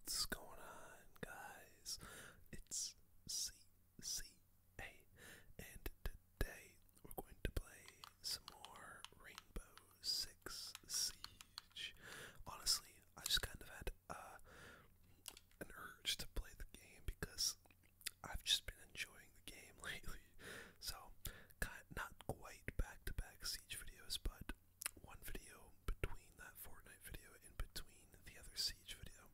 What's going on, guys? It's CCA, and today we're going to play some more Rainbow Six Siege. Honestly, I just kind of had uh, an urge to play the game because I've just been enjoying the game lately. So, not quite back-to-back Siege videos, but one video between that Fortnite video and between the other Siege video.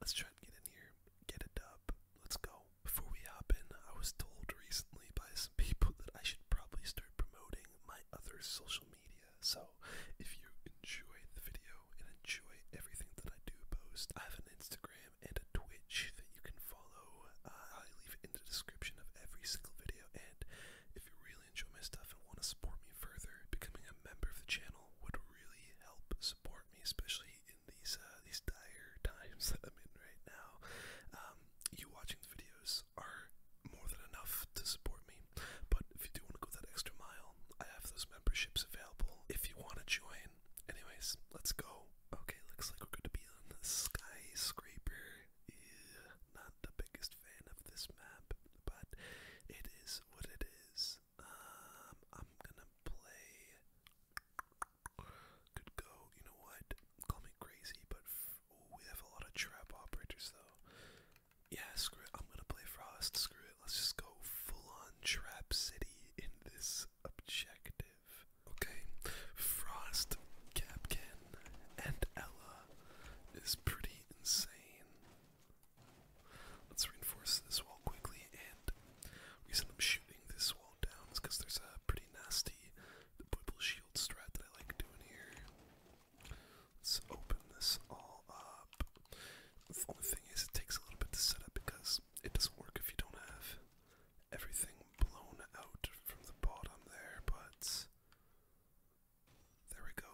Let's try and get in here, get a dub, let's go. Before we hop in, I was told recently by some people that I should probably start promoting my other social media, so if you enjoy the video and enjoy everything that I do post, I have an Instagram Instagram, and Twitch that you can follow. Uh, i leave it in the description of every single video. And if you really enjoy my stuff and want to support me further, becoming a member of the channel would really help support me, especially in these uh, these dire times that I'm in right now. Um, you watching the videos are more than enough to support me, but if you do want to go that extra mile, I have those memberships available if you want to join. Anyways, let's go Okay, looks like we're going to be on the skyscraper. Yeah, not the biggest fan of this map, but it is what it is. Um, I'm gonna play. Could go. You know what? Call me crazy, but we have a lot of trap operators though. Yeah, screw it. I'm gonna play Frost. Screw it. Let's just go full on Trap City in this objective. Okay, Frost, Capkin, and Ella is pretty insane. Let's reinforce this wall quickly, and reason I'm shooting this wall down is because there's a pretty nasty Bibble Shield strat that I like doing here. Let's open this all up. The only thing is, it takes a little bit to set up because it doesn't work if you don't have everything blown out from the bottom there, but there we go.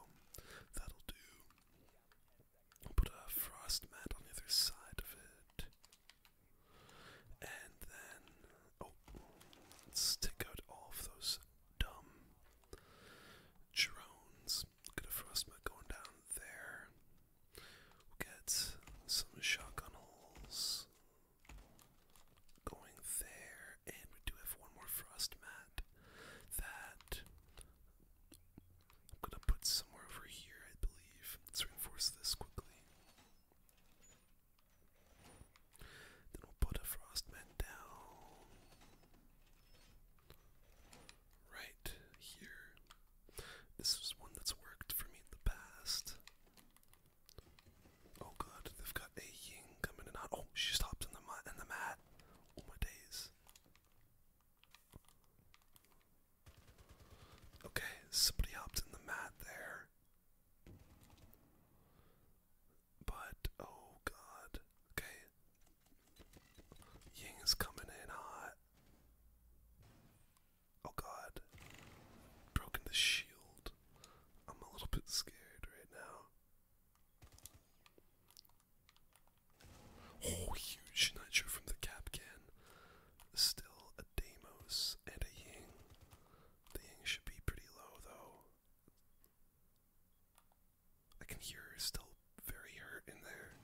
That'll do. put a frost mat on the other side of it. And then, oh, let's take out all those dumb drones. Get a frost mat going down there. get some shotgun Going there, and we do have one more frost mat that I'm gonna put somewhere over here, I believe. Let's reinforce this quickly. Then we'll put a frost mat down right here. This is one that's worked for me in the past. Oh god, they've got a Ying coming in hot. Oh, she just hopped in the mat. Oh my days. Okay, somebody hopped in the mat there. But oh god. Okay. Ying is coming in hot. Oh god. Broken the shield. I'm a little bit scared right now. Oh, huge nitro from the cap can. Still a Deimos and a Ying. The Ying should be pretty low though. I can hear her still very hurt in there.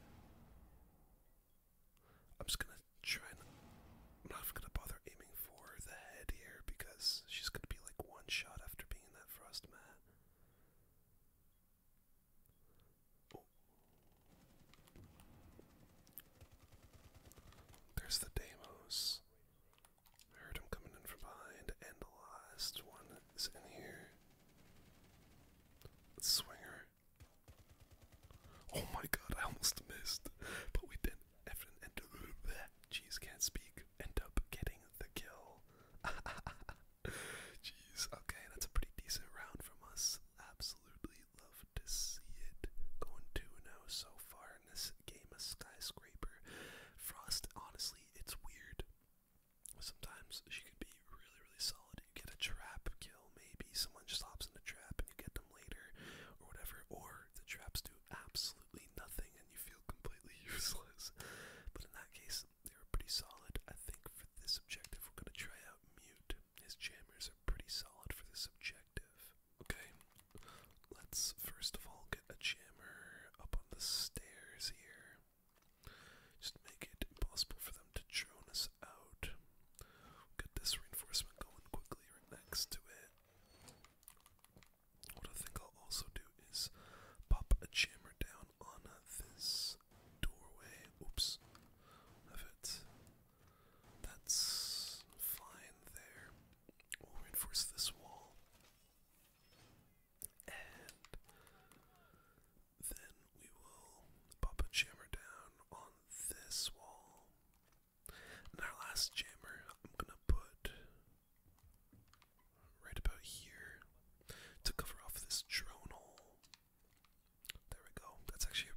I'm just gonna trying. I'm not gonna bother aiming for the head here because she's gonna be like one shot after being in that frost mat. There's the Deimos. heard him coming in from behind, and the last one is in here. let Oh my god, I almost missed, but we did Efren and Jeez can't speak. End up getting the kill. Jeez, okay, that's a pretty decent round from us. Absolutely love to see it. Going 2 now oh so far in this game of Skyscraper. Frost, honestly, it's weird. Sometimes she could be really, really solid. You get a trap kill, maybe. Someone just hops in a trap and you get them later or whatever, or the traps do absolutely nothing and you feel completely useless. But in that case, they are pretty solid. I think for this objective, we're going to try out Mute. His jammers are pretty solid for this objective. Okay, let's first of all get a jammer up on the stairs here. Just make it impossible for them to drone us out. get this reinforcement going quickly right next to it. What I think I'll also do is pop a jammer down on this doorway. Oops. Of it. That's fine there. We'll reinforce this wall. And then we will pop a jammer down on this wall our last jammer, I'm gonna put right about here to cover off this drone hole. There we go. That's actually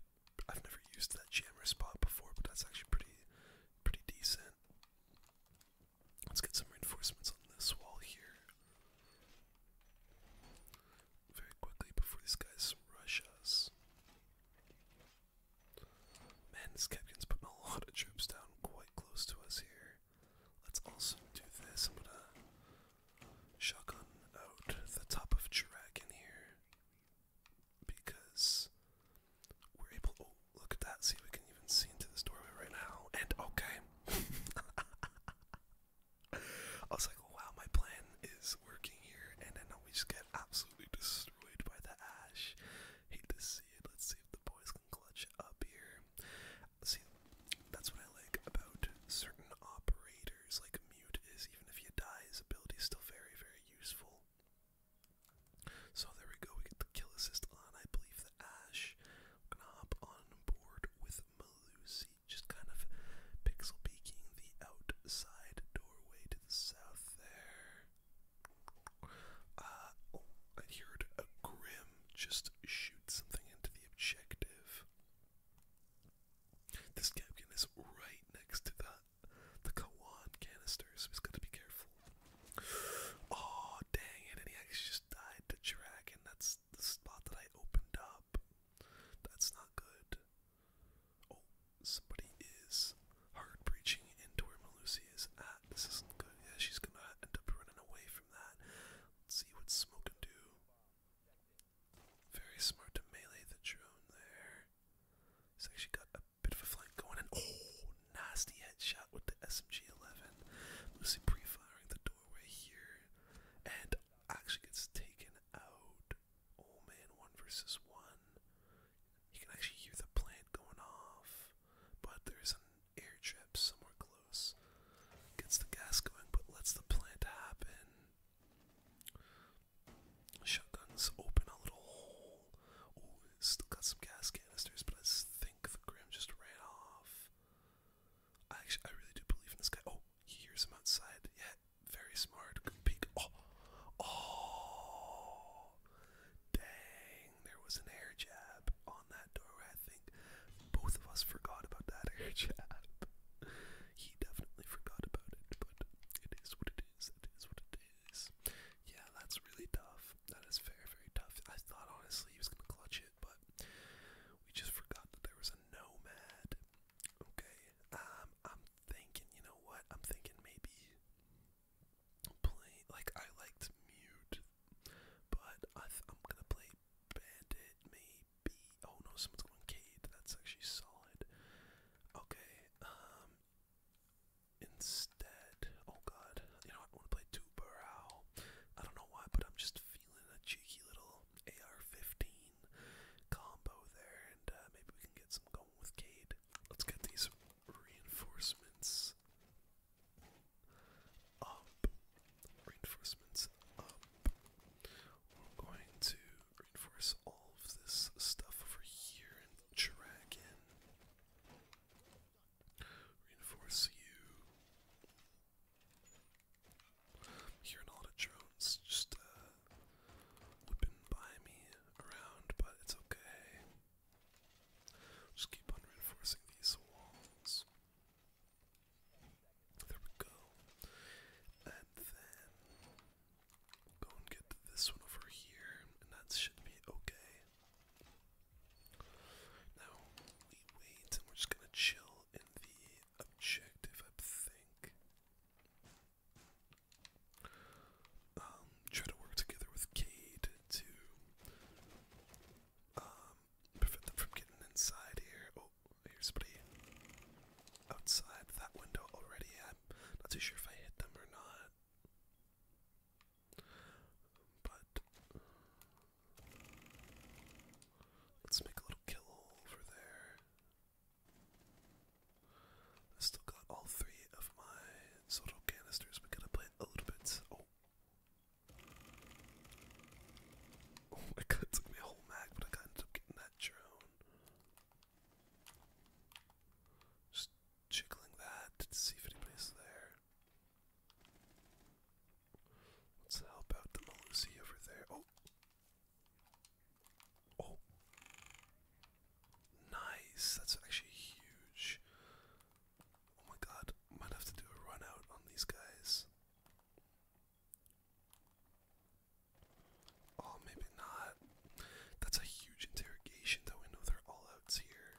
I've never used that jammer spot before, but that's actually pretty pretty decent. Let's get some reinforcements on this wall here. Very quickly before these guys rush us. Man, this captain's putting a lot of troops down quite close to us here. Let's also do this. I'm gonna shotgun out the top of Dragon here. Because we're able oh look at that. See we can even see into this doorway right now. And okay. I was like, wow, my plan is working here, and then we just get absolutely destroyed by the Ash. Hate to see it. Let's see if the boys can clutch up here. See, that's what I like about certain operators, like Mute is, even if you die, his ability is still very, very useful. So there we go, we get the kill assist on, I believe, the Ash. We're gonna hop on board with Malusi, just kind of pixel peeking the outside doorway south there. Uh, oh, I heard a grim just shoot something into the objective. This capkin is right next to the the Kawan canister, so he's got to be careful. Oh dang it! And he actually just died to Dragon. That's the spot that I opened up. That's not good. Oh, somebody is hard breaching into where Malusi is at. This isn't good. Yeah, she's gonna end up running away from that. Let's see what Smoke can do. Very smart to melee the drone there. He's actually got a bit of a flank going in. Oh, nasty headshot with the SMG-11. Lucy pre-firing the doorway here, and actually gets taken out oh man, one versus one. You can actually hear the plant going off, but there's an airship somewhere close. Gets the gas going, but lets the plant happen. Shotguns open a little hole. Oh, still got some gas canisters, but I think the Grim just ran off. I actually, I really do believe in this guy. Oh, he hears him outside. Yeah, very smart. Oh, oh, dang! There was an air jab on that doorway. I think both of us forgot about that air jab. he definitely forgot about it, but it is what it is. It is what it is. Yeah, that's really tough. That is very, very tough. I thought honestly he was gonna clutch it, but we just forgot that there was a nomad. Okay, um, I'm thinking, you know what? I'm thinking maybe play like I liked mute, but I I'm gonna play bandit maybe. Oh no, someone's going Cade. That's actually solid. Okay. Um. Instead, oh god, you know I want to play two Burrow. I don't know why, but I'm just feeling a cheeky little AR-15 combo there, and uh, maybe we can get some. Gold with Cade. Let's get these reinforcements up. Reinforcements up. We're going to reinforce all of this stuff over here and Reinforce you. I'm a lot Just uh, whipping by me around, but it's okay. Just keep on reinforcing these walls. There we go. And then go and get this one over here, and that should be okay. Now we wait, and we're just gonna chill in the objective, I think. Um, try to work together with Cade to um, prevent them from getting inside here. Oh, here's somebody outside that window already. I'm not too sure if I hit them or not. But let's make a little kill over there. I still got all three of my soda canisters. We gotta play a little bit. Oh. Oh my god, it took me a whole mag, but I got ended up getting that drone. Just jiggling that to see if anybody's there. Let's help out the Malusi over there. Oh, Oh. Nice. That's actually huge. Oh my god. Might have to do a run out on these guys. Oh, maybe not. That's a huge interrogation, though. We know they're all outs here.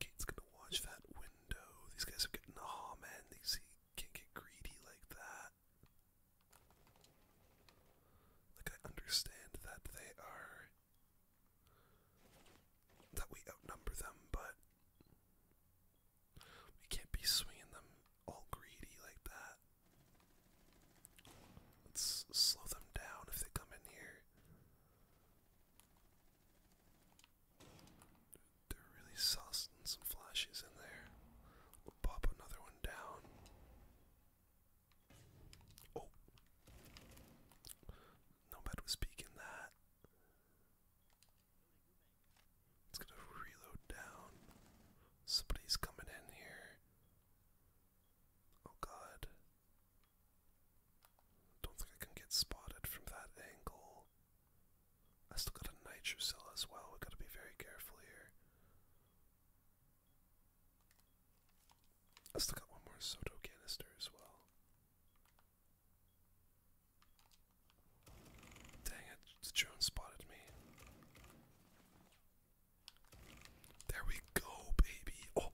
Kate's gonna watch that window. These guys are getting. Oh man, these can't get greedy like that. Like, I understand that they are. that we outnumber them, but. We can't be swinging them all greedy like that. Let's slow them down if they come in here. They're really saucy some flashes in there. We'll pop another one down. Oh. Nomad was peeking that. It's gonna reload down. Somebody's coming in here. Oh god. Don't think I can get spotted from that angle. I still got a nitro as well. We've got to be very careful here. I still got one more Soto canister as well. Dang it, the drone spotted me. There we go, baby. Oh,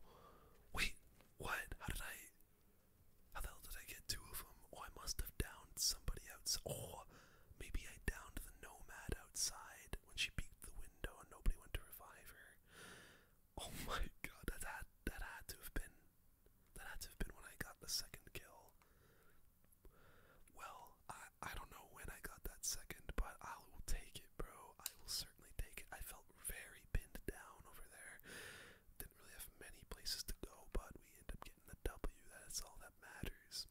wait, what? How did I. How the hell did I get two of them? Oh, I must have downed somebody else. Oh, Maybe I downed the nomad outside when she peeked the window and nobody went to revive her. Oh my god, that that had to have been that had to have been when I got the second kill. Well, I I don't know when I got that second, but I will take it, bro. I will certainly take it. I felt very pinned down over there. Didn't really have many places to go, but we end up getting the W. That's all that matters.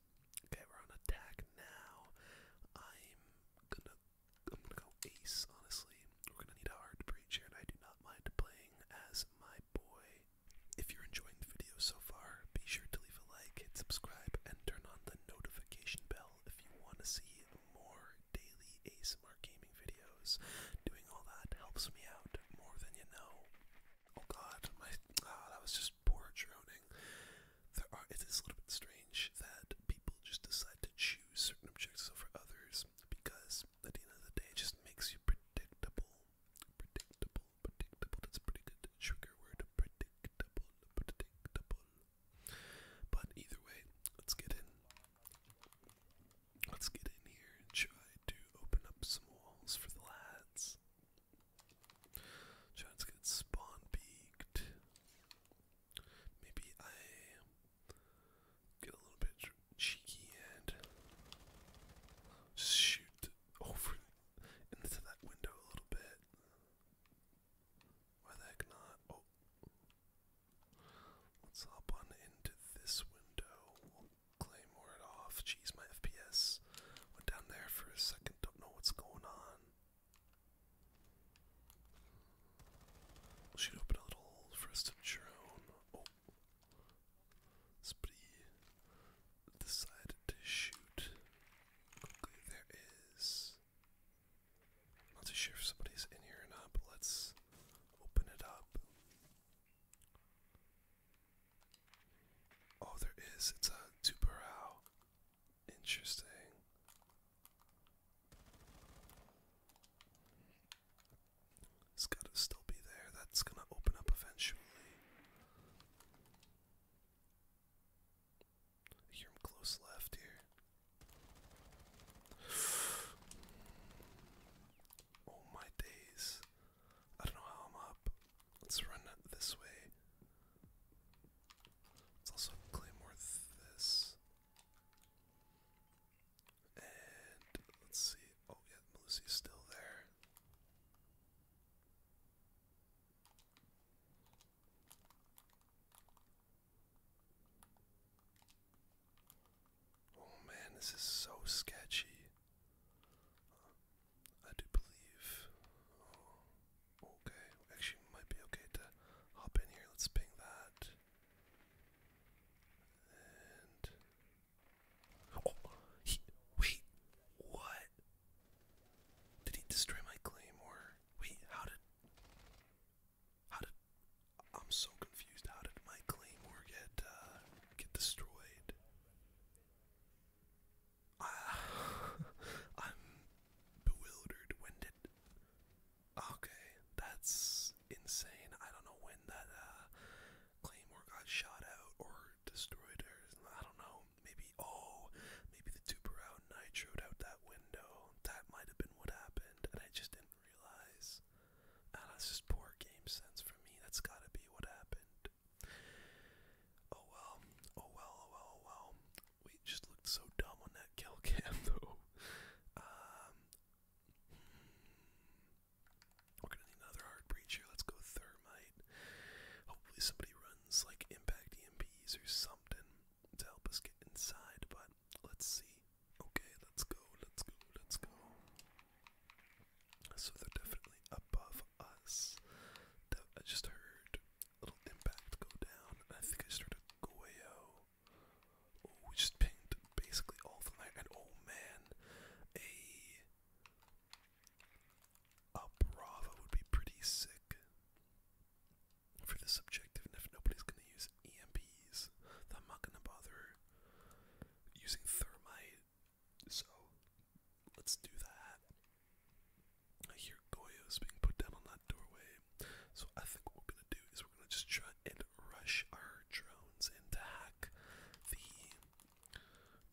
Okay, we're on attack now. I'm gonna I'm gonna go ace, honestly. We're gonna need a hard breach and I do not mind playing as my boy. If you're enjoying the video so far, be sure to leave a like, hit subscribe, and turn on the notification bell if you want to see more daily ASMR gaming videos. Doing all that helps me out more than you know. Oh god, my ah, that was just poor droning. There are it is a little bit strange that people just decide to choose certain objectives over others because at the end of the day it just makes you predictable. Predictable, predictable. That's a pretty good trigger word. Predictable, predictable. But either way, let's get in. Let's get in here and try to open up some walls for the lads. Giants get spawn peaked. Maybe I get a little bit cheeky and shoot over into that window a little bit. Why the heck not? Oh. Let's hop on into this window. claymore it off. Jeez, my FPS went down there for a second not know what's going on. Should open a little first drone. Oh. Somebody decided to shoot. there is. I'm not sure if somebody's in here or not, let's open it up. Oh, there is. It's a Tuberow. Interesting. It's gotta still be there. That's gonna open up eventually. hear him close left here. Oh my days. I don't know how I'm up. Let's run this way. Let's also claymore this. And let's see. Oh, yeah, Melissa's still there. Oh man, this is so sketchy. I do believe. Oh, okay, actually, might be okay to hop in here. Let's ping that. And oh, he, wait, what? Did he destroy my claim, or wait? How did? How did? I'm so confused. How did my claim or get uh, get destroyed? I'm bewildered. When did? Okay, that's insane. I don't know when that uh, claymore got shot out or destroyed, or I don't know. Maybe oh, maybe the tuber out nitroed out that window. That might have been what happened, and I just didn't realize. Ah, that's just poor game sense for me. That's gotta be what happened. Oh well, oh well, oh well, oh, oh, oh, well. We just looked so dumb on that kill cam though. Um, we're gonna need another hard breach here. Let's go thermite. Hopefully somebody runs like impact EMPs or something to help us get inside. But let's see. Okay, let's go. Let's go. Let's go. So they're definitely above us. I just heard a little impact go down. I think I started heard a we just pinged basically all the night. And oh man, a a Bravo would be pretty sick for this objective. if nobody's gonna use EMPs, I'm not gonna bother using thermite so let's do that. I hear Goyo's being put down on that doorway. So I think what we're gonna do is we're gonna just try and rush our drones and to hack the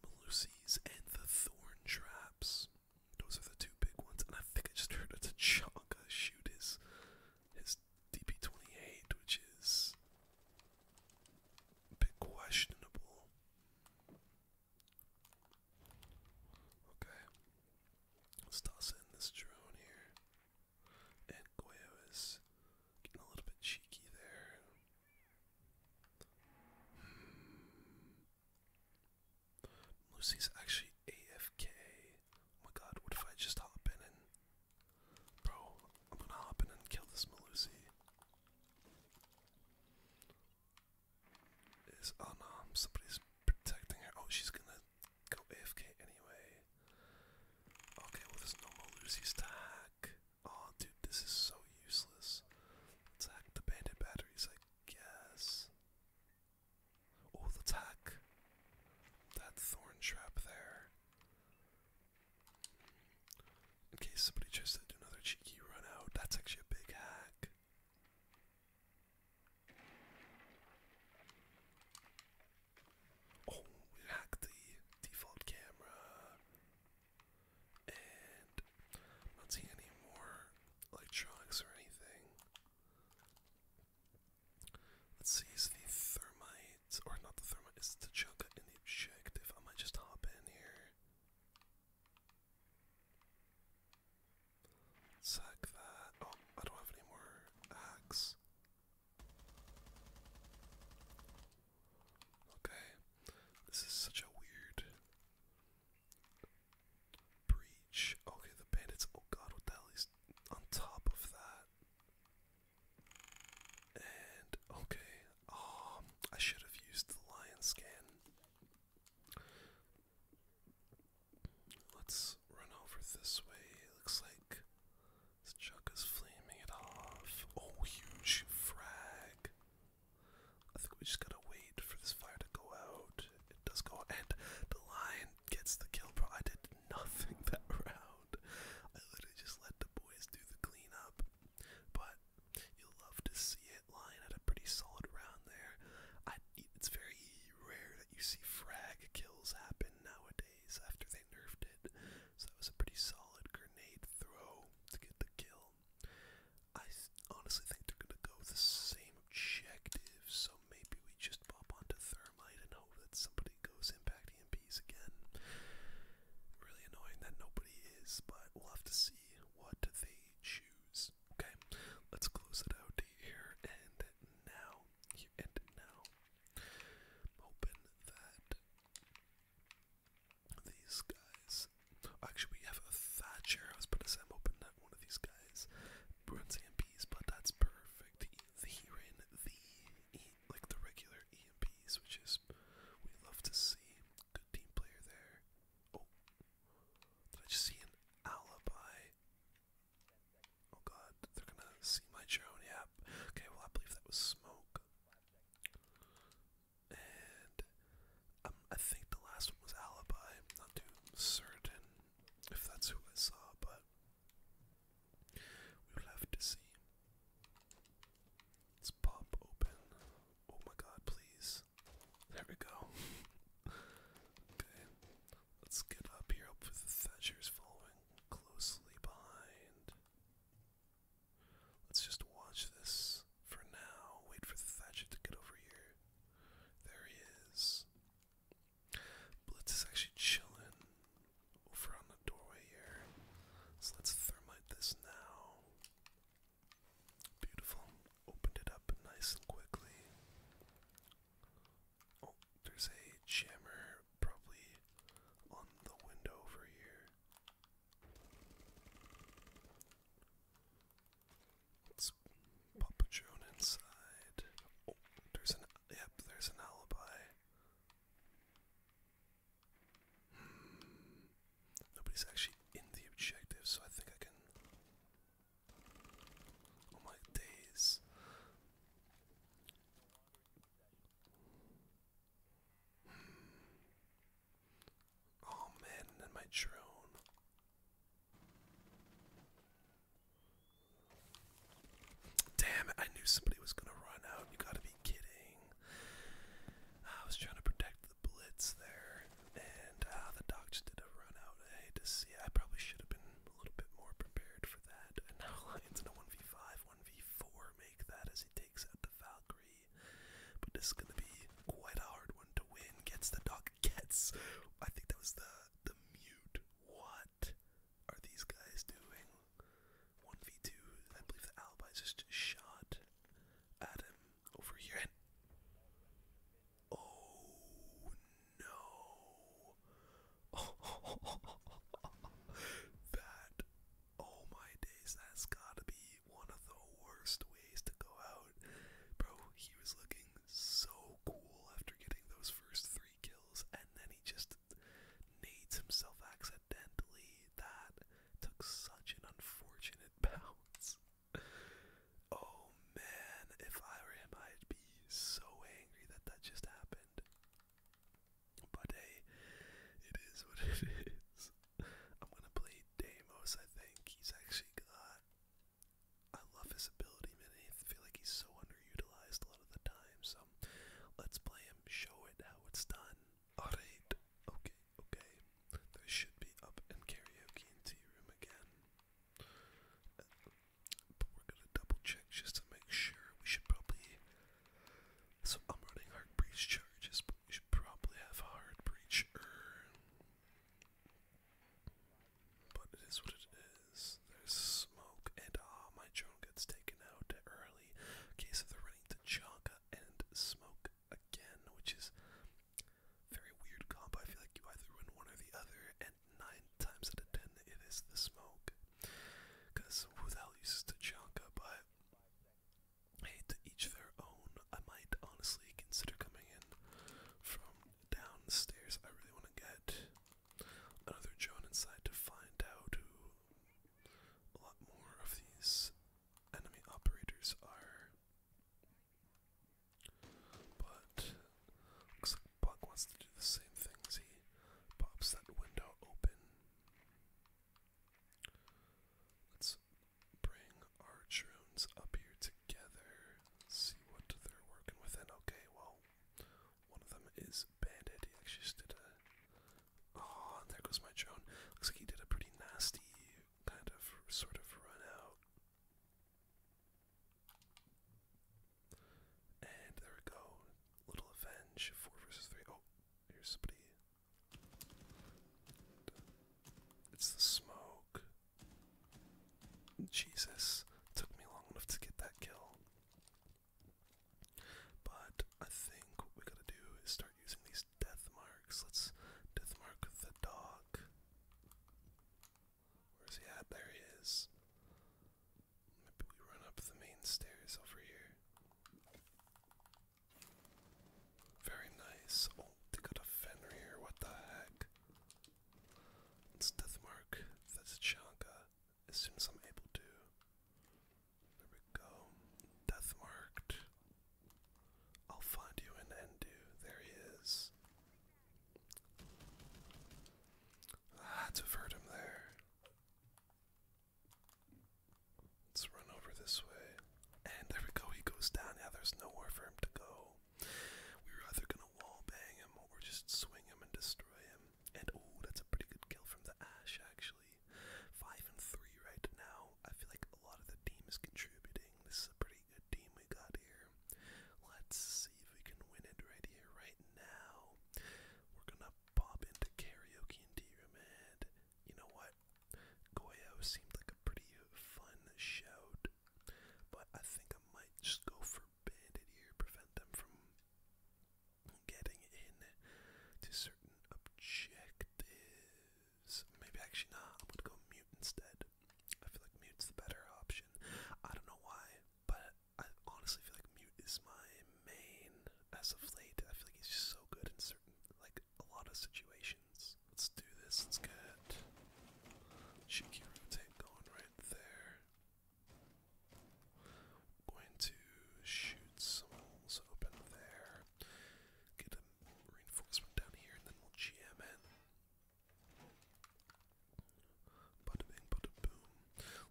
Malusis and the Thorn Traps. Those are the two big ones, and I think I just heard a Tachanka shoot his his DP28, which is a bit questionable. Okay. Let's toss in this drone here. And Goyo is getting a little bit cheeky there. Hmm. Lucy's actually AFK. Oh my god, what if I just hop in and. Bro, I'm gonna hop in and kill this Malusi is unarmed. Oh somebody's protecting her. Oh, she's gonna go AFK anyway. Okay, well, there's no more Lucy's tag. Oh, dude, this is so useless. let the bandit batteries, I guess. Oh, the That thorn trap there. In case somebody tries to do another cheeky run out, that's actually a big hack. Oh, we hacked the default camera. And not seeing any more electronics or anything. Let's see, is the thermite, or not the thermite, is the chunk in objective. I might just hop in here. Sack that. Oh, I don't have any more hacks. Okay, this is such a weird breach. Okay, the bandits. Oh god, what is on top of that? And okay, Oh, I should have used the lion scan. Let's run over this way. looks like this chuck is flaming it off. Oh, huge frag. I think we just gotta wait for this fire to go out. It does go out, and the lion gets the kill, bro. I did nothing that round. I literally just let the boys do the cleanup. But you'll love to see it lying at a pretty solid round there. I, it's very rare that you see frag kills happen nowadays after they nerfed it. So that was a pretty solid grenade throw to get the kill. I honestly think they're gonna go with the same objective, so maybe we just pop onto thermite and hope that somebody goes impact EMPs again. Really annoying that nobody is, but we'll have to see what they choose. Okay, let's close it out here and now. and now. hoping that these guys. Actually, we have a Thatcher. I was going to say, hoping that one of these guys runs EMPs, but that's perfect. He ran the, like the regular EMPs, which is we love to see. Good team player there. Oh, did I just see an alibi? Oh god, they're gonna see my drone. Yeah. Okay, well, I believe that was smoke. And um, I think the last one was alibi. not too certain if that's who I saw, but we will have to see. Let's pop open. Oh my god, please. There we go. okay, let's get up here. Hopefully the Thatcher's following closely behind. Let's just watch this for now. Wait for Thatcher to get over here. There he is. Blitz is actually chilling over on the doorway here. So let's thermite this now. Beautiful. Opened it up nice and quickly. Oh, there's a jammer probably on the window over here. Let's pop a drone inside. Oh, there's an yep, there's an alibi. Hmm. Nobody's actually in the objective, so I think I can. Oh my days. Hmm. Oh man, and my drone. Damn it, I knew somebody was gonna run out. You gotta be kidding. I was trying to protect the blitz there, and uh, the doc just did a run out. I hate to see. I probably should have been a little bit more prepared for that. And now it's in a 1v5, 1v4 make that as he takes out the Valkyrie. But this is going to be quite a hard one to win. Gets the doc, gets. I think that was the, the mute. What are these guys doing? 1v2, I believe the Alibi's just shot. Adam over here oh no. that oh my days, that's gotta be one of the worst ways to go out. Bro, he was looking so cool after getting those first three kills and then he just nades himself accidentally. That took such an unfortunate Oh man, if I were him, I'd be so angry that that just happened. But hey, it is what it is. I'm gonna play Deimos, I think. He's actually got. I love his ability, man. I feel like he's so underutilized a lot of the time. So let's play him, show it how it's done. Alright, okay, okay. They should be up in karaoke tea room again. but we're gonna double check just to make sure. We should probably. So I'm running hard breach charges, but we should probably have hard breach But it is what it is. There's smoke, and ah, my drone gets taken out early. Okay, so they're running to Chaka and smoke again, which is very weird comp. I feel like you either win one or the other, and nine times out of ten, it is the smoke. Because who the uses Tachanka, but hey, to each their own. I might honestly consider coming in from downstairs. I really want to get another drone inside to find out a lot more of these enemy operators are. But looks like Buck wants to do the same thing as he pops that window open. Let's bring our drones up here together. see what they're working with. And okay, well, one of them is Bandit. He actually just did a. Oh, there goes my drone. Looks like he did a pretty nasty kind of sort of run out. And there we go. Little Avenge, 4 versus 3. Oh, here's somebody. It's the smoke. Jesus, took me long enough to get that kill. But I think what we gotta do is start using these death marks. Let's death mark the dog. Where's he at? There he is. Maybe we run up the main stairs over here. Very nice. Oh, they got a Fenrir. What the heck? let death mark the Tachanka as soon as I'm able to. There we go. Death marked. I'll find you in Endu. There he is. I had him there. Let's run over this way. And there we go, he goes down. Yeah, there's nowhere for him to go. We were either gonna wall him or just swing him and destroy him. And oh, that's a pretty good kill from the Ash, actually. Five and three right now. I feel like a lot of the team is contributing. This is a pretty good team we got here. Let's see if we can win it right here, right now. We're gonna pop into karaoke and D-Romad. You know what? Goyo seemed like a pretty fun shout, but I think I might just go for Bandit here, prevent them from getting in to certain objectives use. Maybe actually not. I'm gonna go mute instead. I feel like mute's the better option. I don't know why, but I honestly feel like mute is my main as of late. I feel like he's just so good in certain, like a lot of situations. Let's do this. Let's get cheeky rotate right there. going to shoot some holes open there. Get a reinforcement down here, and then we'll GM in. Bada bing, bada boom.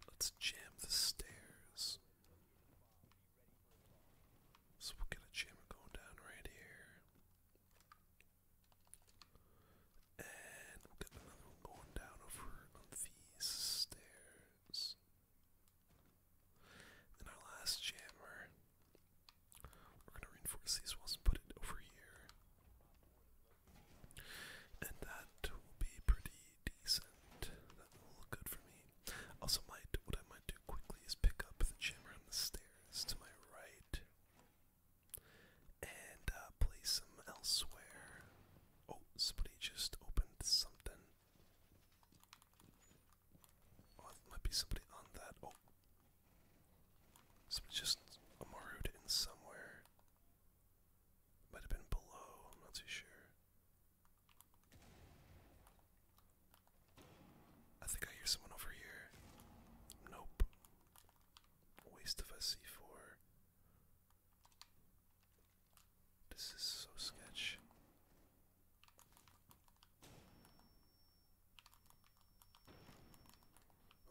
Let's jam the stairs. So we'll get a jammer going down right here. And we'll get another one going down over on these stairs. Then our last jammer. We're gonna reinforce these walls and put it over here. And that will be pretty decent. That will look good for me. Also might what I might do quickly is pick up the jammer on the stairs to my right. And uh, place them elsewhere. Oh, somebody just opened something might be somebody on that. Oh. Somebody just amaru in somewhere. Might have been below, I'm not too sure. I think I hear someone over here. Nope. Waste of a C4. This is so sketch.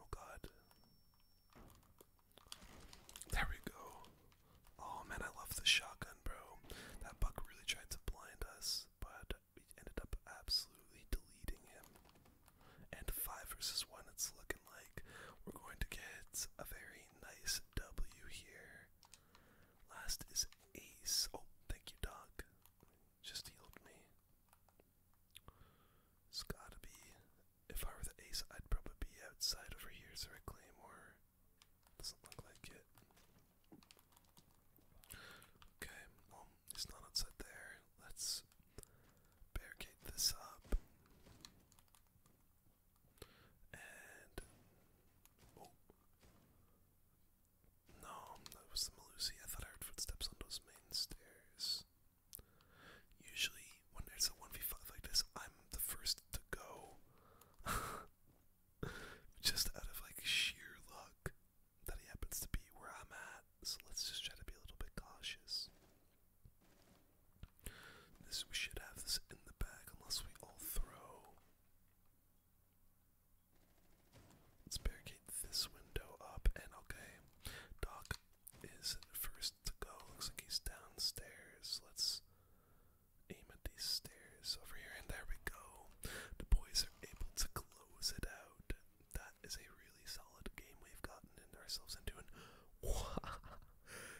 Oh god. There we go. Oh man, I love the shotgun, bro. That buck really tried to blind us, but we ended up absolutely deleting him. And 5 versus 1, it's looking like we're going to get a very nice W here. Last is Ace. Oh, thank you, Doc just healed me. It's gotta be. If I were the ace, I'd probably be outside over here, so I claim or doesn't look like it. Okay, he's not outside there. Let's barricade this up. And oh, no, that was the Malusi. I thought I heard footsteps on those main stairs. Usually, when there's a 1v5 like this, I'm the first to go. just out of like sheer luck that he happens to be where I'm at. So let's just try to be a little bit cautious. This we should have this in the bag unless we all throw. Let's barricade this window up and okay. Doc is first to go. Looks like he's downstairs. Let's aim at these stairs over here and there we go. The boys are able to close it out. That is a really solid game we've gotten ourselves into and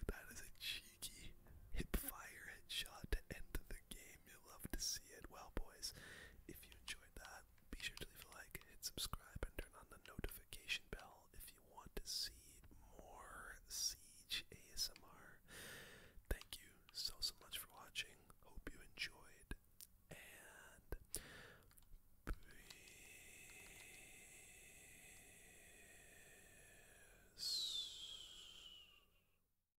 that is a cheeky hip fire headshot to end the game. You'll love to see it. Well, boys, if you enjoyed that, be sure to leave a like, hit subscribe, and turn on the notification bell if you want to see more Siege ASMR. Thank you so, so much for watching. Hope you enjoyed, and peace.